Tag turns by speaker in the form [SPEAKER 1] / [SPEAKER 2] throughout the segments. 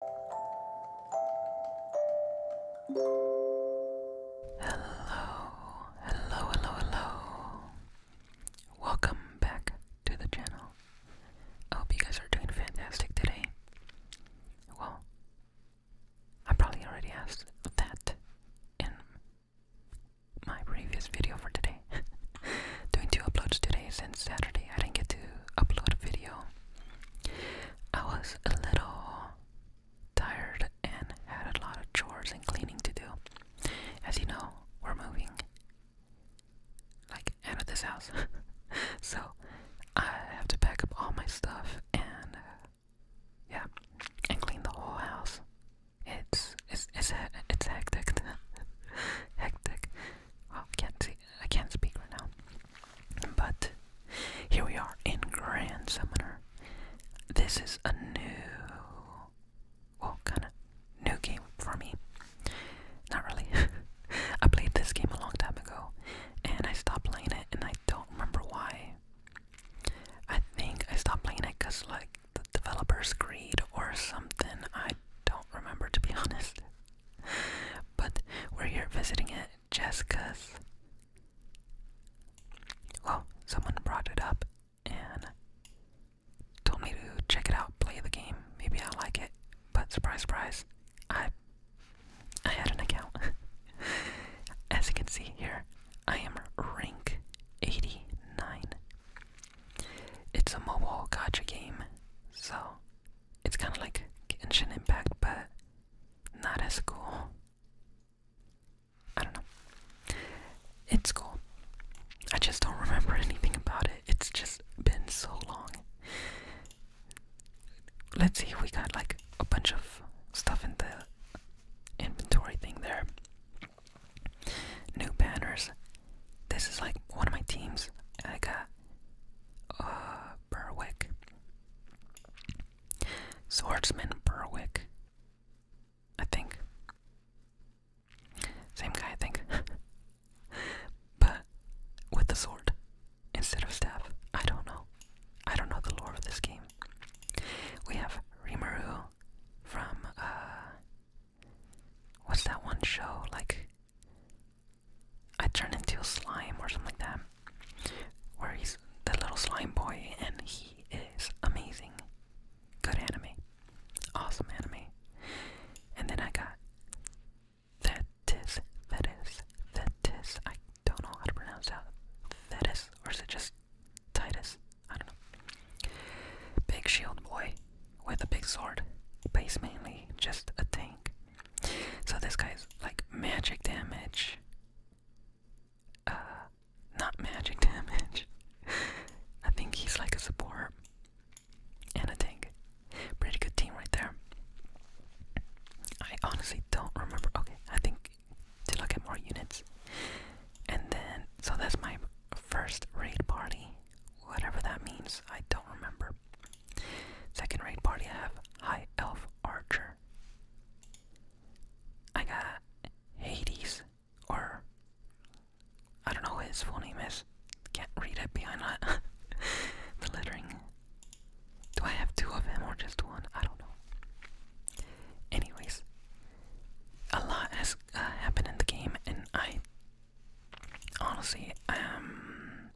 [SPEAKER 1] Hello, hello, hello, hello. Welcome back to the channel. I hope you guys are doing fantastic today. Well, I probably already asked that in my previous video for today. doing two uploads today since Saturday. I didn't get to upload a video I was a little tired and had a lot of chores and cleaning to do. As you know, we're moving like out of this house. so I have to pack up all my stuff and uh, yeah, and clean the whole house. It's it's it's it's hectic. hectic. Oh, I can't see. I can't speak right now. But here we are in Grand Summoner. This is a new, well, kind of new game for me. Not really. I played this game a long time ago, and I stopped playing it, and I don't remember why. I think I stopped playing it because, like, the developer's greed or something. I don't remember, to be honest. but we're here visiting it just cause. Well, someone brought it up and told me to check it out, play the game. Maybe I'll like it. But surprise, surprise, I I had an account. As you can see here, I am rank 89. It's a mobile gacha game, so it's kind of like ancient Impact, but not as cool. I don't know. It's cool. I just don't remember anything about it. It's just been so long. Let's see, we got like a bunch of stuff in the inventory thing there. New banners. This is like one of my teams. I uh, Berwick, Swordsman Berwick, I think. Same guy, I think. but with the sword instead of staff. I don't know. I don't know the lore of this game. We have Rimuru from, uh, what's that one show? Like, I turn into a slime or something like that. Where he's the little slime boy, and he is amazing. Good enemy, Awesome enemy. And then I got Thetis, Thetis, Thetis. I don't know how to pronounce that. Thetis, or is it just Titus? I don't know. Big shield boy with a big sword, Base mainly just a tank. So this guy's like magic damage. Uh, not magic damage. I think he's like a support and a tank. Pretty good team right there. I honestly don't remember. Okay, I think to look at more units. And then, so that's my first raid party. Whatever that means, I don't remember. Second ranked party I have High Elf Archer. I got Hades, or I don't know what his full name is. Can't read it behind the lettering. Do I have two of him or just one? I don't know. Anyways, a lot has uh, happened in the game, and I honestly um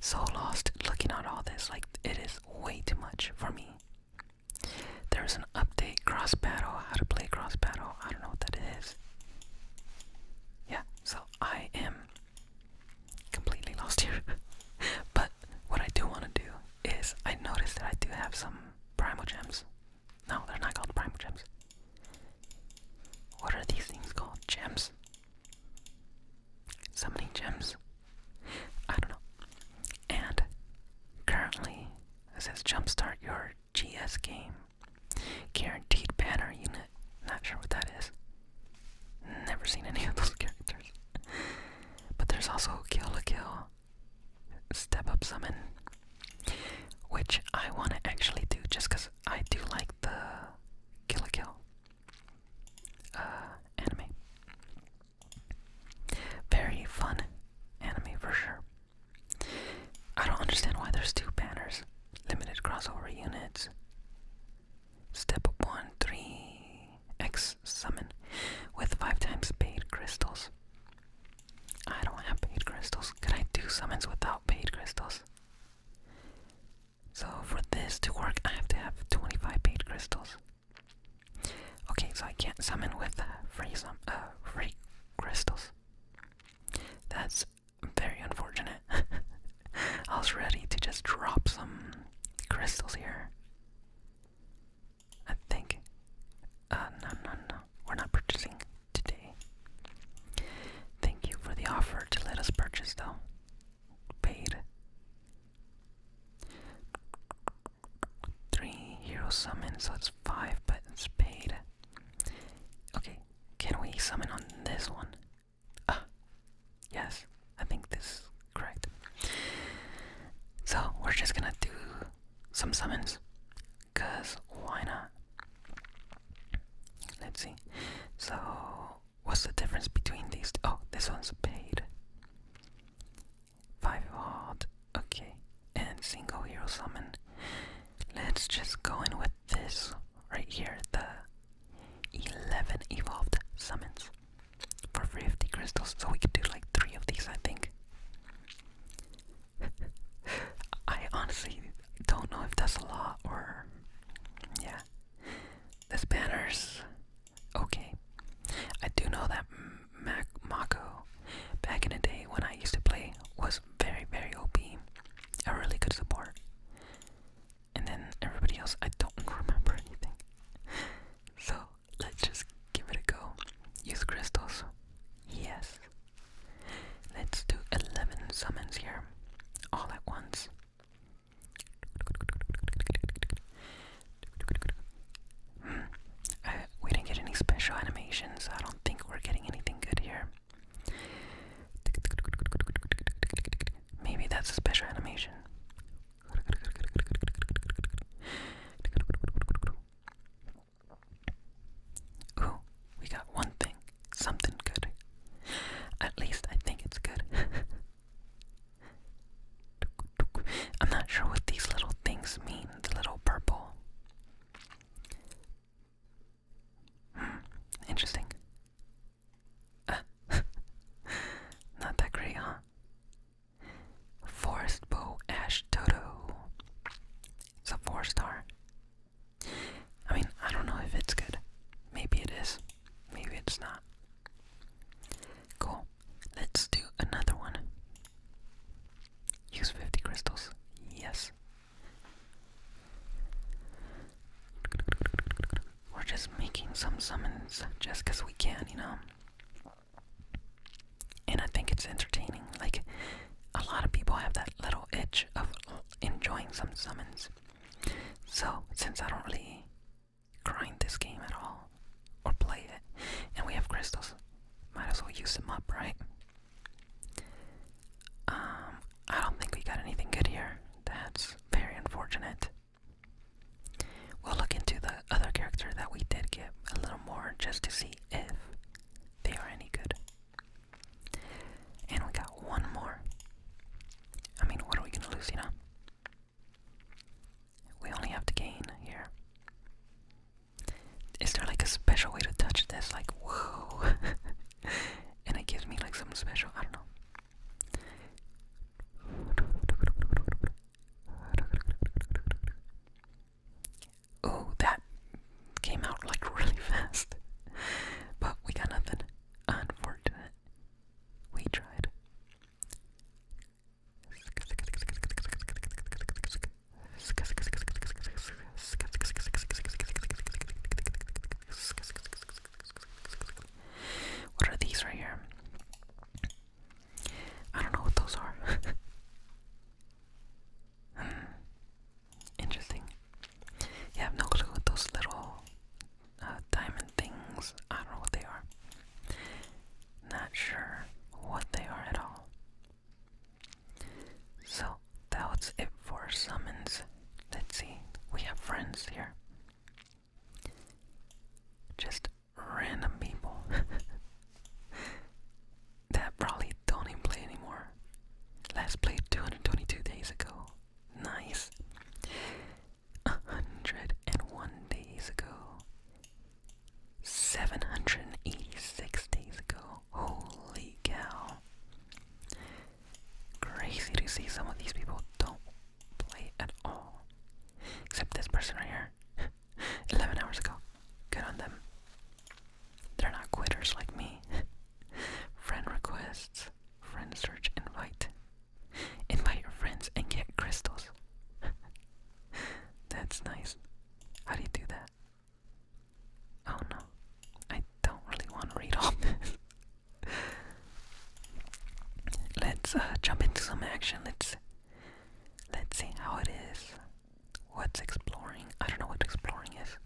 [SPEAKER 1] so lost looking at all this. Like, it is way too much for me. There's an update cross battle, how to play cross battle. I don't know what that is. Yeah, so I am completely lost here. but what I do want to do is I noticed that I do have some primal gems. No, they're not called primal gems. What are these things called? Gems? So many gems. I don't know. And currently, it says jumpstart your GS game. Guaranteed banner unit. Not sure what that is. Never seen any of those characters. But there's also Kill a Kill, Step Up Summon, which I want to actually do just because I do like the Kill a Kill. Uh, anime. Very fun anime for sure. I don't understand why there's two banners. Limited crossover units. Step 1 3 X summon with 5 times paid crystals. I don't have paid crystals. Can I do summons without paid crystals? So for this to work, I have to have 25 paid crystals. Okay, so I can't summon with uh, free sum uh, free crystals. That's very unfortunate. I was ready to just drop some crystals here. I think. Uh, no, no, no. We're not purchasing today. Thank you for the offer to let us purchase, though. Paid. Three hero summons, so it's five, but it's paid. Okay, can we summon on this one? Ah, yes, I think this is correct. So, we're just gonna do some summons, because why not? Let's see. So, What's the difference between these? Oh, this one's paid. Five of Okay. And single hero summon. Let's just go in with this right here. The 11 evolved summons for 50 crystals. So we could do like three of these, I think. I honestly don't know if that's a lot or. Yeah, this banner's okay. I do know that Mac Mako, back in the day when I used to play, was very, very OP. A really good support. And then everybody else, I don't remember anything. So let's just give it a go. Use crystals. Yes. Let's do 11 summons here. All at once. Uh, we didn't get any special animations, I don't think we're getting anything good here. Maybe that's a special animation. Ooh, we got one thing something good. At least I think it's good. I'm not sure what these little things mean, the little purple. Hmm, interesting. Uh, not that great, huh? Forest Bow Ash Toto. It's a four star. I mean, I don't know if it's good. Maybe it is. Maybe it's not. Cool. Let's do another one. Use 50 crystals. Yes. We're just making some summons just because we can, you know? And I think it's entertaining. Like, a lot of people have that little itch of enjoying some summons. So, since I don't really grind this game at all, or play it, and we have crystals, might as well use them up, right? Um, I don't think we got anything good here. That's very unfortunate. We'll look into the other character that we did get a little more just to see if they are any good. And we got one more. I mean, what are we going to lose, you know? We only have to gain here. Is there like a special way to touch this? Like, whoa. and it gives me like some special. I don't know. Oh, that came out like really fast. but we got nothing. Unfortunate. We tried. What are these right here? I don't know what those are. Hmm. Interesting. Yeah, I have no clue what those little uh, diamond things. I don't know what they are. Not sure what they are at all. So that was it for summons. Let's see. We have friends here. Just random people that probably don't even play anymore. Last played 222 days ago. Nice. A hundred and one days ago. Seven hundred and eighty-six days ago. Holy cow. Crazy to see some of these people don't play at all. Except this person right here. 11 hours ago. Good on them. They're not quitters like me. Friend requests. Friend search invite. Invite your friends and get crystals. That's nice. How do you do that? Oh no. I don't really want to read all this. Let's uh, jump into some action. Let's let's see how it is. What's exploring? I don't know what exploring is.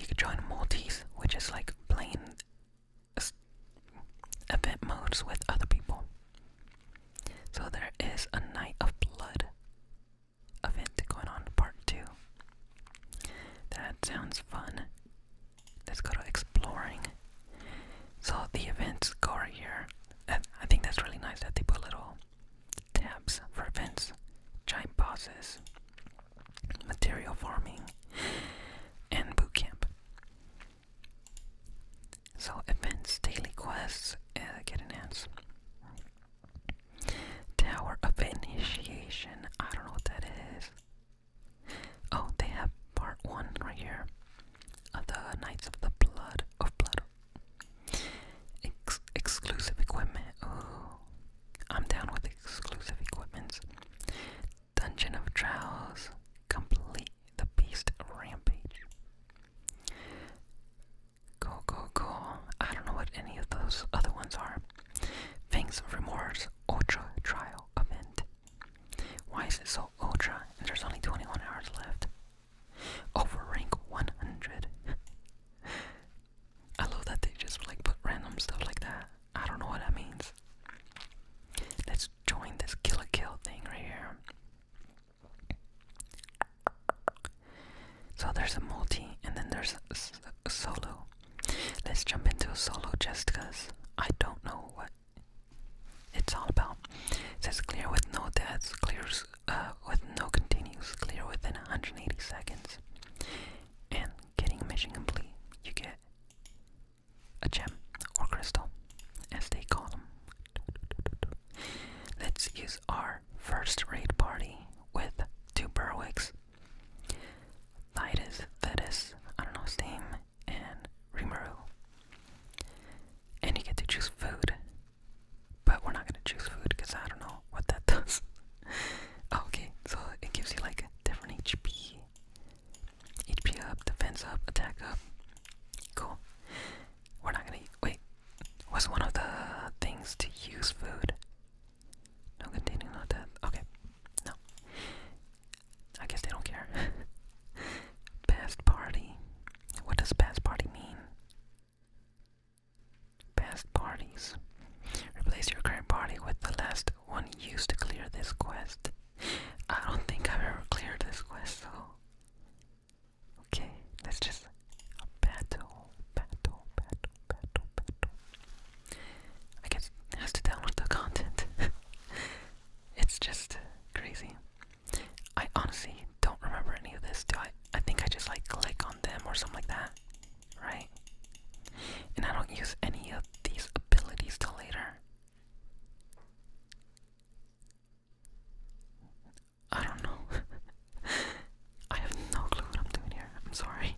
[SPEAKER 1] You could join multis, which is like playing event modes with other people. So there is a Night of Blood event going on, part two. That sounds fun. Let's go to exploring. So the events are here. And I think that's really nice that they put little tabs for events, giant bosses, material farming, and boot camp. So events, daily quests uh, get enhanced. Tower of Initiation. I don't know what that is. Oh, they have part one right here. Of the Knights of the Blood of Blood exclusive equipment. Ooh. I'm down with exclusive equipments. Dungeon of Trials. Complete the Beast Rampage. Go, go, go. I don't know what any of those other ones are. Fangs of Remorse Ultra Trial Event. Why is it so ultra? And there's only 21 hours left. Over rank 100. I love that they just like put random stuff like that. I don't know what that means. Let's join this kill a kill thing right here. So there's a multi and then there's a, solo. Let's jump into a solo just because I don't know what it's all about. It says clear with no deaths, clears uh, with no continuous clear within 180 seconds. And getting a mission complete, you get a gem or crystal, as they call them. Let's use our first raid party with two Berwicks, Titus, Vetus, I don't know Steam, and Rimuru. And you get to choose food. But we're not gonna choose food because I don't know what that does. Oh, okay, so it gives you like a different HP. HP up, defense up, attack up. Cool. We're not gonna eat. wait. Was one of the things to use food? No continuing not that. Okay. No. I guess they don't care. past party. What does past party mean? Past parties. Replace your current party with the last one used to clear this quest. I don't think I've ever cleared this quest, so. Okay, let's just. Battle, battle, battle, battle, battle. I guess has to download the content. it's just crazy. I honestly don't remember any of this, do I? I think I just like click on them or something like that, right? And I don't use any of these abilities till later. I don't know. I have no clue what I'm doing here. I'm sorry.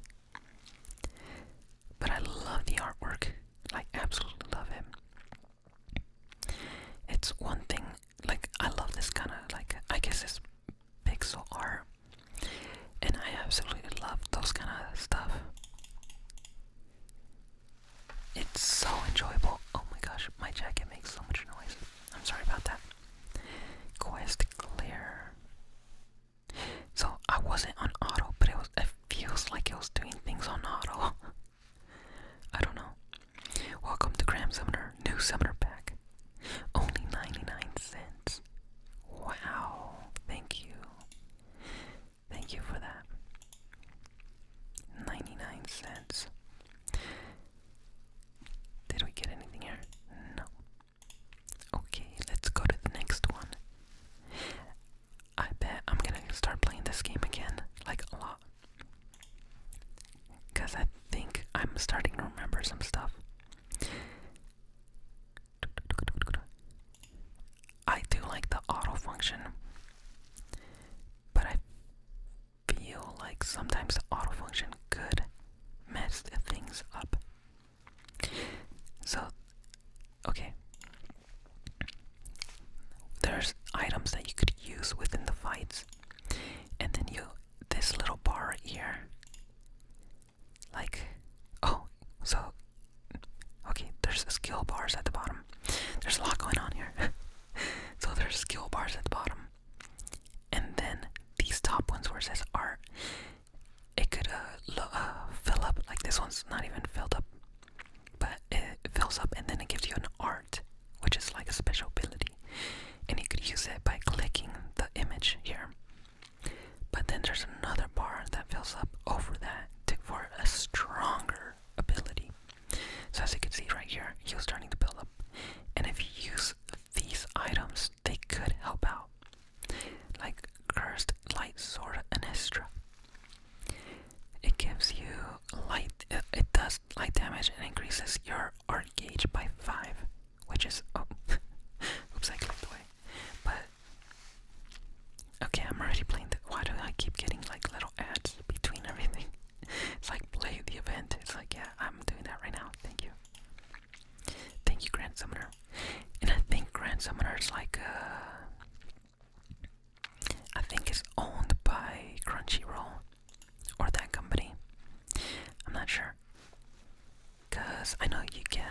[SPEAKER 1] But I love the artwork. Like, absolutely love it. It's one thing like I love this kind of like I guess it's pixel art, and I absolutely love those kind of stuff. It's so enjoyable. Oh my gosh, my jacket makes so much noise. I'm sorry about that. Quest clear. So I wasn't on auto, but it was. It feels like it was doing things on auto. I don't know. Welcome to Graham Summoner, new Summoner Pack. Only 99 cents. Wow, thank you. Thank you for that. 99 cents. Did we get anything here? No. Okay, let's go to the next one. I bet I'm gonna start playing this game again, like a lot. Because I think I'm starting to remember some stuff. I do like the auto but I feel like sometimes the auto function could mess things up. So, okay. There's items that you could use within the fights, and then you this little bar right here. Like, oh, so, okay, there's skill bars at the bottom. There's a lot going on here. so there's skill bars at the bottom. And then these top ones where it says art, it could uh, uh, fill up. Like this one's not even filled up, but it fills up and then it gives you an art which is like a special ability, and you could use it by clicking the image here. But then there's another bar that fills up over that for a stronger ability. So as you can see right here, he was starting to build up. And if you use these items, they could help out. Like Cursed Light Sword and Estra. It gives you light, uh, it does light damage and increases your are engaged by five, which is oh, oops, I clicked away. But okay, I'm already playing. The, why do I keep getting like little ads between everything? It's like play the event. It's like yeah, I'm doing that right now. Thank you, thank you, Grand Summoner. And I think Grand Summoner is like uh, I think it's owned by Crunchyroll. Or that company. I'm not sure. Cause I know you get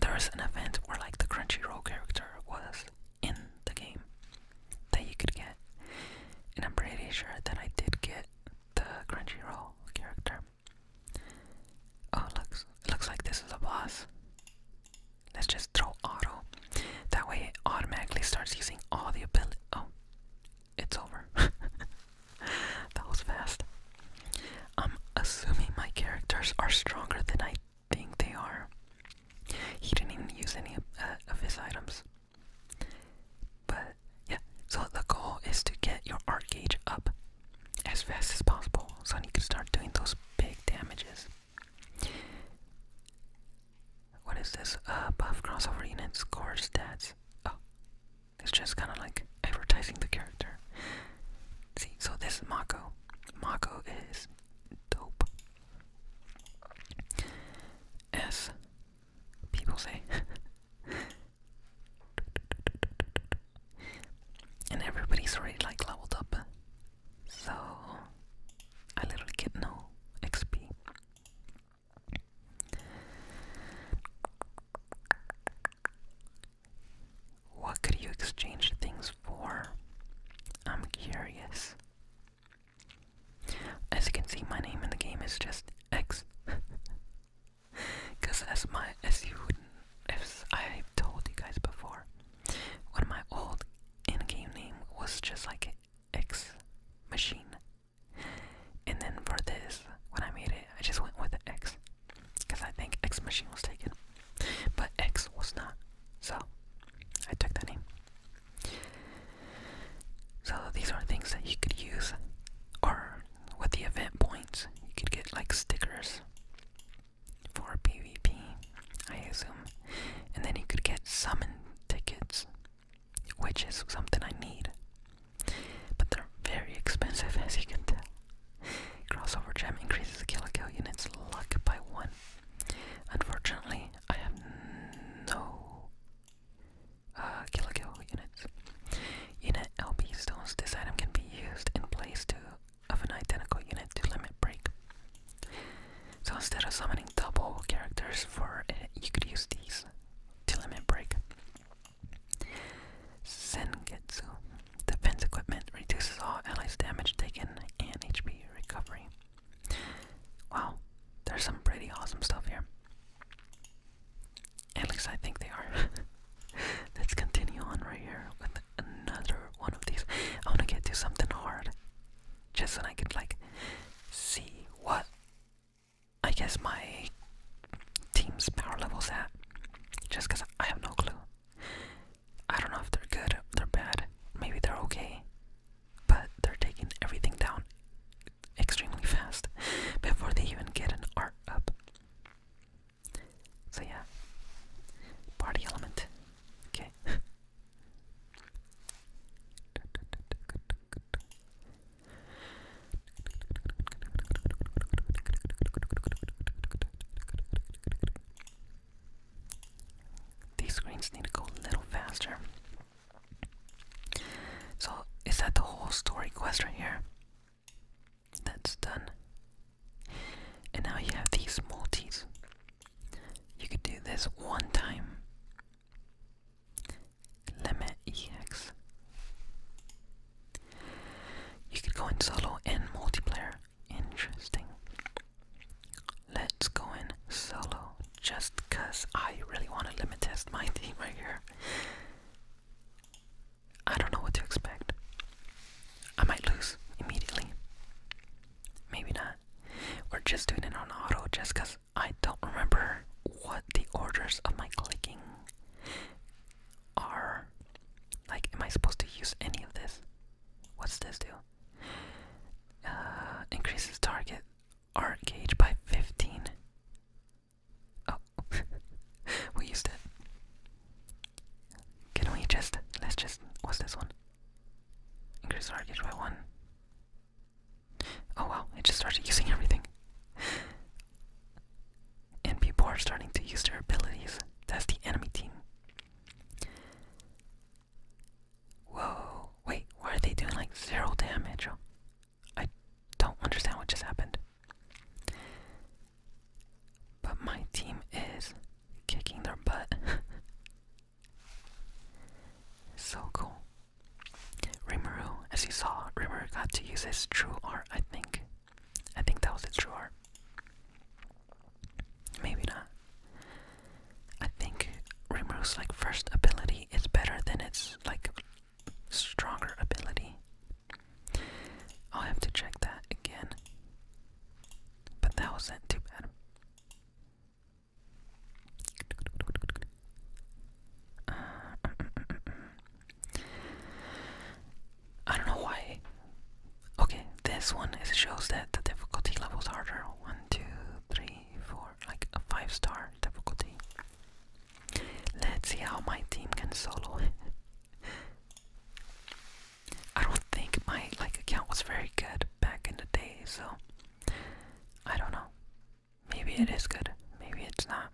[SPEAKER 1] there was an event where like the Crunchyroll character was in the game that you could get. And I'm pretty sure that I did get the Crunchyroll character. Oh looks looks like this is a boss. Let's just throw auto. That way it automatically starts using all the ability. Oh, it's over. that was fast. I'm assuming my characters are stronger than I think they are. He didn't even use any of, uh, his items. But yeah, so the goal is to get your art gauge up as fast as possible so he can start doing those big damages. What is this? Uh, buff crossover unit score stats. Oh, it's just kind of like advertising the character. See, so this is Mako. Mako is dope. As people say. and everybody's already like leveled up. So I literally get no XP. What could you exchange things for? I'm curious. As you can see, my name in the game is just X. Cause as my as you would, as I told you guys before, when my old in-game name was just like X Machine and then for this, when I made it, I just went with X. Because I think X Machine was taken. But X was not. So, I took that name. So, these are things that you could use. Or, with the event points, you could get like stickers for PvP, I assume. And then you could get summon tickets which is something I need. But they're very expensive, as you can tell. Crossover Gem increases the kill kill unit's luck by one. Unfortunately, I have no uh, kill kill units. Unit LP stones. This item can be used in place to, of an identical unit to limit break. So instead of summoning double characters for it, you could use these ligament break. Sengetsu. Defense equipment reduces all allies' damage taken and HP recovery. Wow, there's some pretty awesome stuff here. At least I think they are. Let's continue on right here with another one of these. I want to get to something hard. Just so I can like, see what I guess my team's power level's at. Just because I have no clue. I don't know if they're good, they're bad, maybe they're okay. But they're taking everything down extremely fast before they even get an art up. So, yeah. Party element. Okay. These screens need to go a little faster. So, is that the whole story quest right here? That's done. And now you have these multis. You could do this one time limit ex. You could go in solo and multiplayer. Interesting. Let's go in solo just because I really want to limit test my team right here. I don't know what to expect. I might lose immediately. Maybe not. We're just doing it on auto just because I don't remember what the orders of my clicking are. Like, am I supposed to use any of this? What's this do? Uh, increases target art gauge by 15. Oh, we used it. Can we just, let's just, what's this one? Increase art by 1. Oh wow, It just started using everything. And people are starting to use their abilities. That's the enemy team. Whoa, wait, why are they doing like zero damage? I don't understand what just happened. But my team is kicking their butt. so cool. Rimuru, as you saw, Rimuru got to use his true art, I think. I think that was the true art. Maybe not. I think Rimuru's like first ability is better than its like stronger ability. I'll have to check that again. But that wasn't too bad. Uh, mm, mm, mm, I don't know why. Okay, this one is, shows that the difficulty level is harder. One, two, three, four, like a five star difficulty. Let's see how my team can solo. I don't think my like account was very good back in the day, so I don't know. Maybe it is good. Maybe it's not.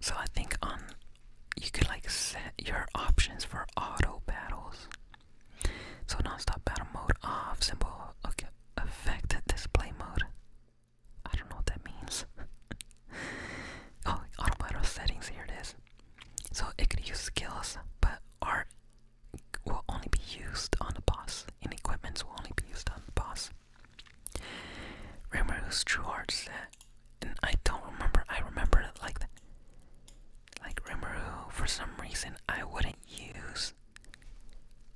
[SPEAKER 1] So I think on you could like set your options for auto battles. So non-stop battle mode off, simple okay, effect display mode. I don't know what that means. oh, auto battle settings, here it is. So it could use skills, but art will only be used on the boss, and equipments will only be used on the boss. Remember whose true heart said, and I don't remember, I remember it like that. Like Rimuru, for some reason, I wouldn't use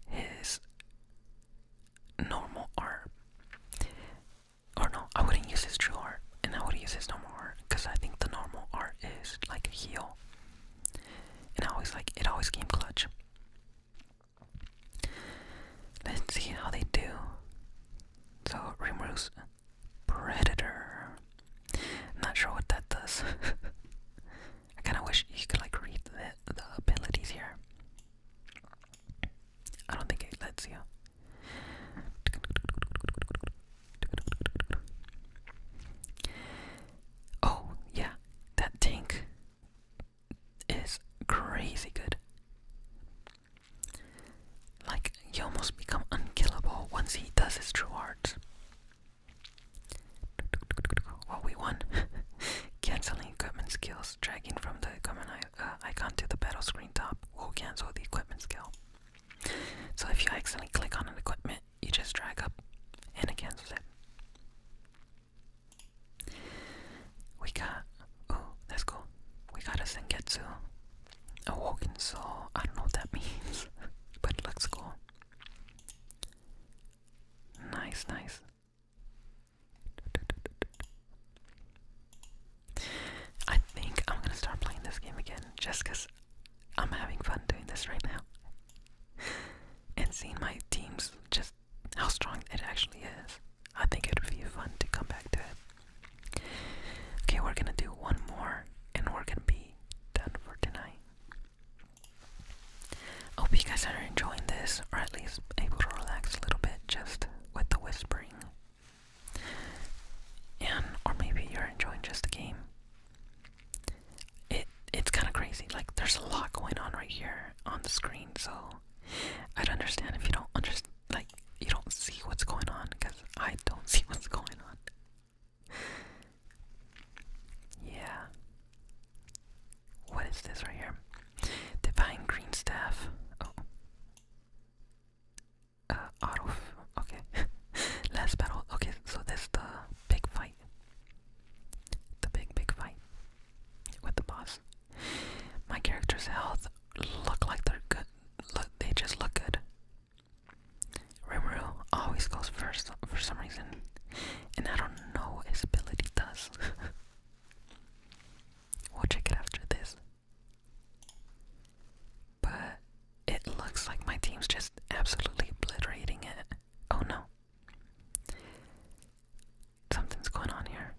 [SPEAKER 1] his normal art. Or no, I wouldn't use his true art, and I would use his normal art, because I think the normal art is like a heal. And I always like it always came clutch. Let's see how they do. So Rimru's Predator. not sure what that does. I kinda wish you could like read the abilities here. I don't think it lets you. Oh, yeah, that tank is crazy good. Like, he almost become unkillable once he does his true art. Well, we won. Canceling equipment skills, dragging from the command uh, icon to the battle screen top Who cancels the equipment skill. So if you accidentally click on an equipment you just drag up and it cancels it. We got, oh, that's cool. We got a Sengetsu, a Woken Soul. I don't know what that means, but looks cool. Nice, nice. I think I'm gonna start playing this game again just I'm having fun doing this right now. and seeing my teams just how strong it actually is. I think it would be fun to come back to it. Okay, we're gonna do one more and we're gonna be done for tonight. hope you guys are enjoying this or at least able to relax a little bit just with the whispering. And or maybe you're enjoying just the game it it's kind of crazy. Like there's a lot going on right here on the screen, so I'd understand if you don't understand, like you don't see what's going on, because I don't see what's going on. yeah. What is this right here? Divine green staff. Oh. Uh, auto. Okay. Last battle. Okay, so this the big fight. The big, big fight with the boss. My character's health look like they're good. Look, they just look good. Rimuru always goes first for some reason, and I don't know his ability does. we'll check it after this. But it looks like my team's just absolutely obliterating it. Oh no. Something's going on here.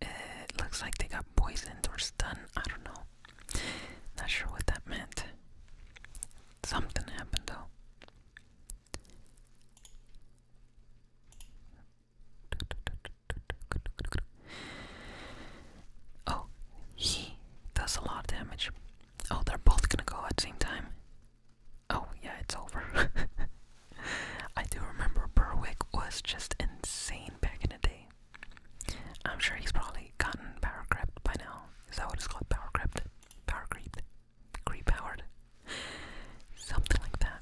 [SPEAKER 1] It looks like they got poisoned or stunned. I don't know. Not sure what that meant. Something happened though. Oh, he does a lot of damage. Oh, they're both gonna go at same time. Oh, yeah, it's over. I do remember Berwick was just insane back in the day. I'm sure he's probably gotten power crept by now. Is that what it's called? Power crept? Power creeped? Creep powered? Something like that.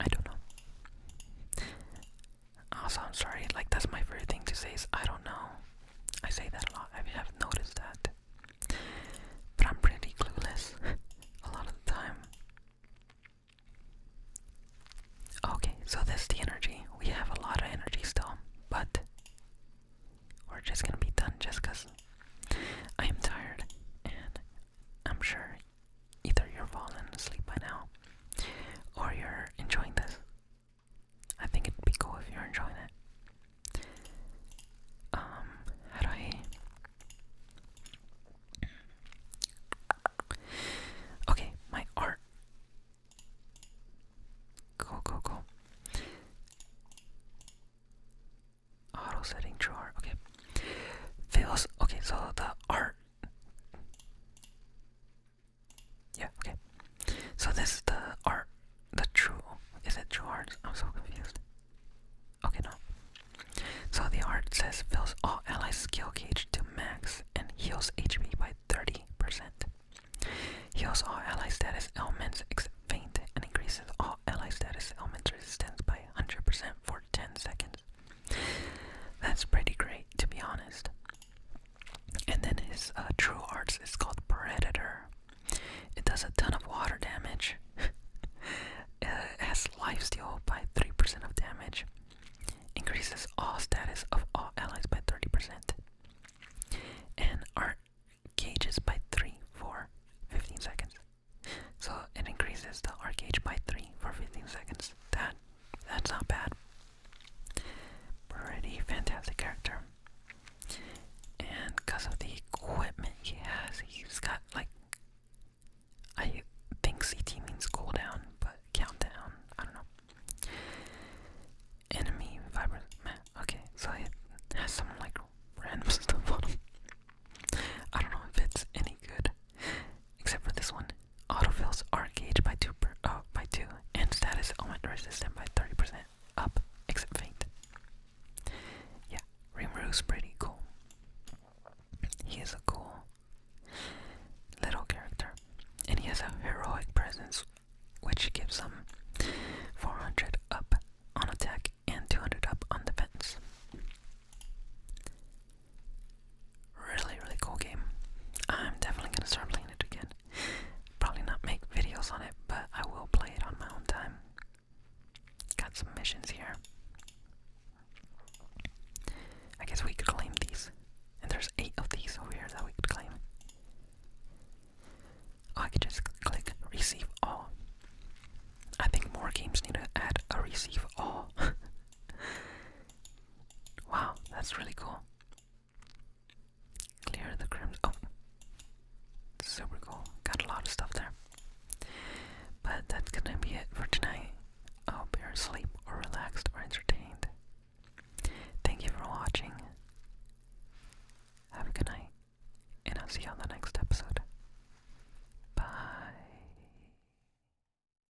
[SPEAKER 1] I don't know. Also, I'm sorry, like, that's my favorite thing to say is I don't know. I say that a lot, I have noticed that. But I'm pretty clueless a lot of the time. Okay, so that's the energy. We have a lot of energy still, but we're just gonna be done just because I am tired and I'm sure either you're falling asleep by now or you're enjoying this. I think it'd be cool if you're enjoying it. Um, how do I. Okay, my art. Go, go, go. Auto setting true art. Okay. Feels. Okay, so the art. Yeah, okay. So this is the art, the true, is it true art? I'm so confused. Okay, no. So the art says fills all ally skill gauge to max and heals HP by 30%. Heals all ally status elements except faint and increases all ally status elements resistance by 100% for 10 seconds. That's pretty great, to be honest. And then his uh, true arts is called Predator. It does a ton of water damage. Uh, it has steal by 3% of damage. Increases all status of all allies by 30%. And our gauges by 3 for 15 seconds. So it increases the arc gauge by 3 for 15 seconds. That that's not bad. Pretty fantastic character. And because of the equipment he has, he's got like. I think CT means cooldown, but countdown, I don't know. Enemy vibrant man. Okay, so it has some like random stuff I don't know if it's any good except for this one. Autofills are engaged by two, oh, by two, and status augment resistant by 30% up, except faint. Yeah, Rimru's pretty cool. He is a cool little character, and he has a heroic presence, which gives him 400 up on attack and 200 up on defense. Really, really cool game. I'm definitely gonna start playing it again. Probably not make videos on it, but I will play it on my own time. Got some missions here. I guess we could claim these. And there's eight of these over here that we could claim. Oh, I could just click receive all. I think more games need to add a receive all. Wow, that's really cool. Clear the crimson. Oh, super cool. Got a lot of stuff there. But that's gonna be it for tonight. I hope you're asleep or relaxed or entertained. Thank you for watching. Have a good night, and I'll see you on the next episode. Bye.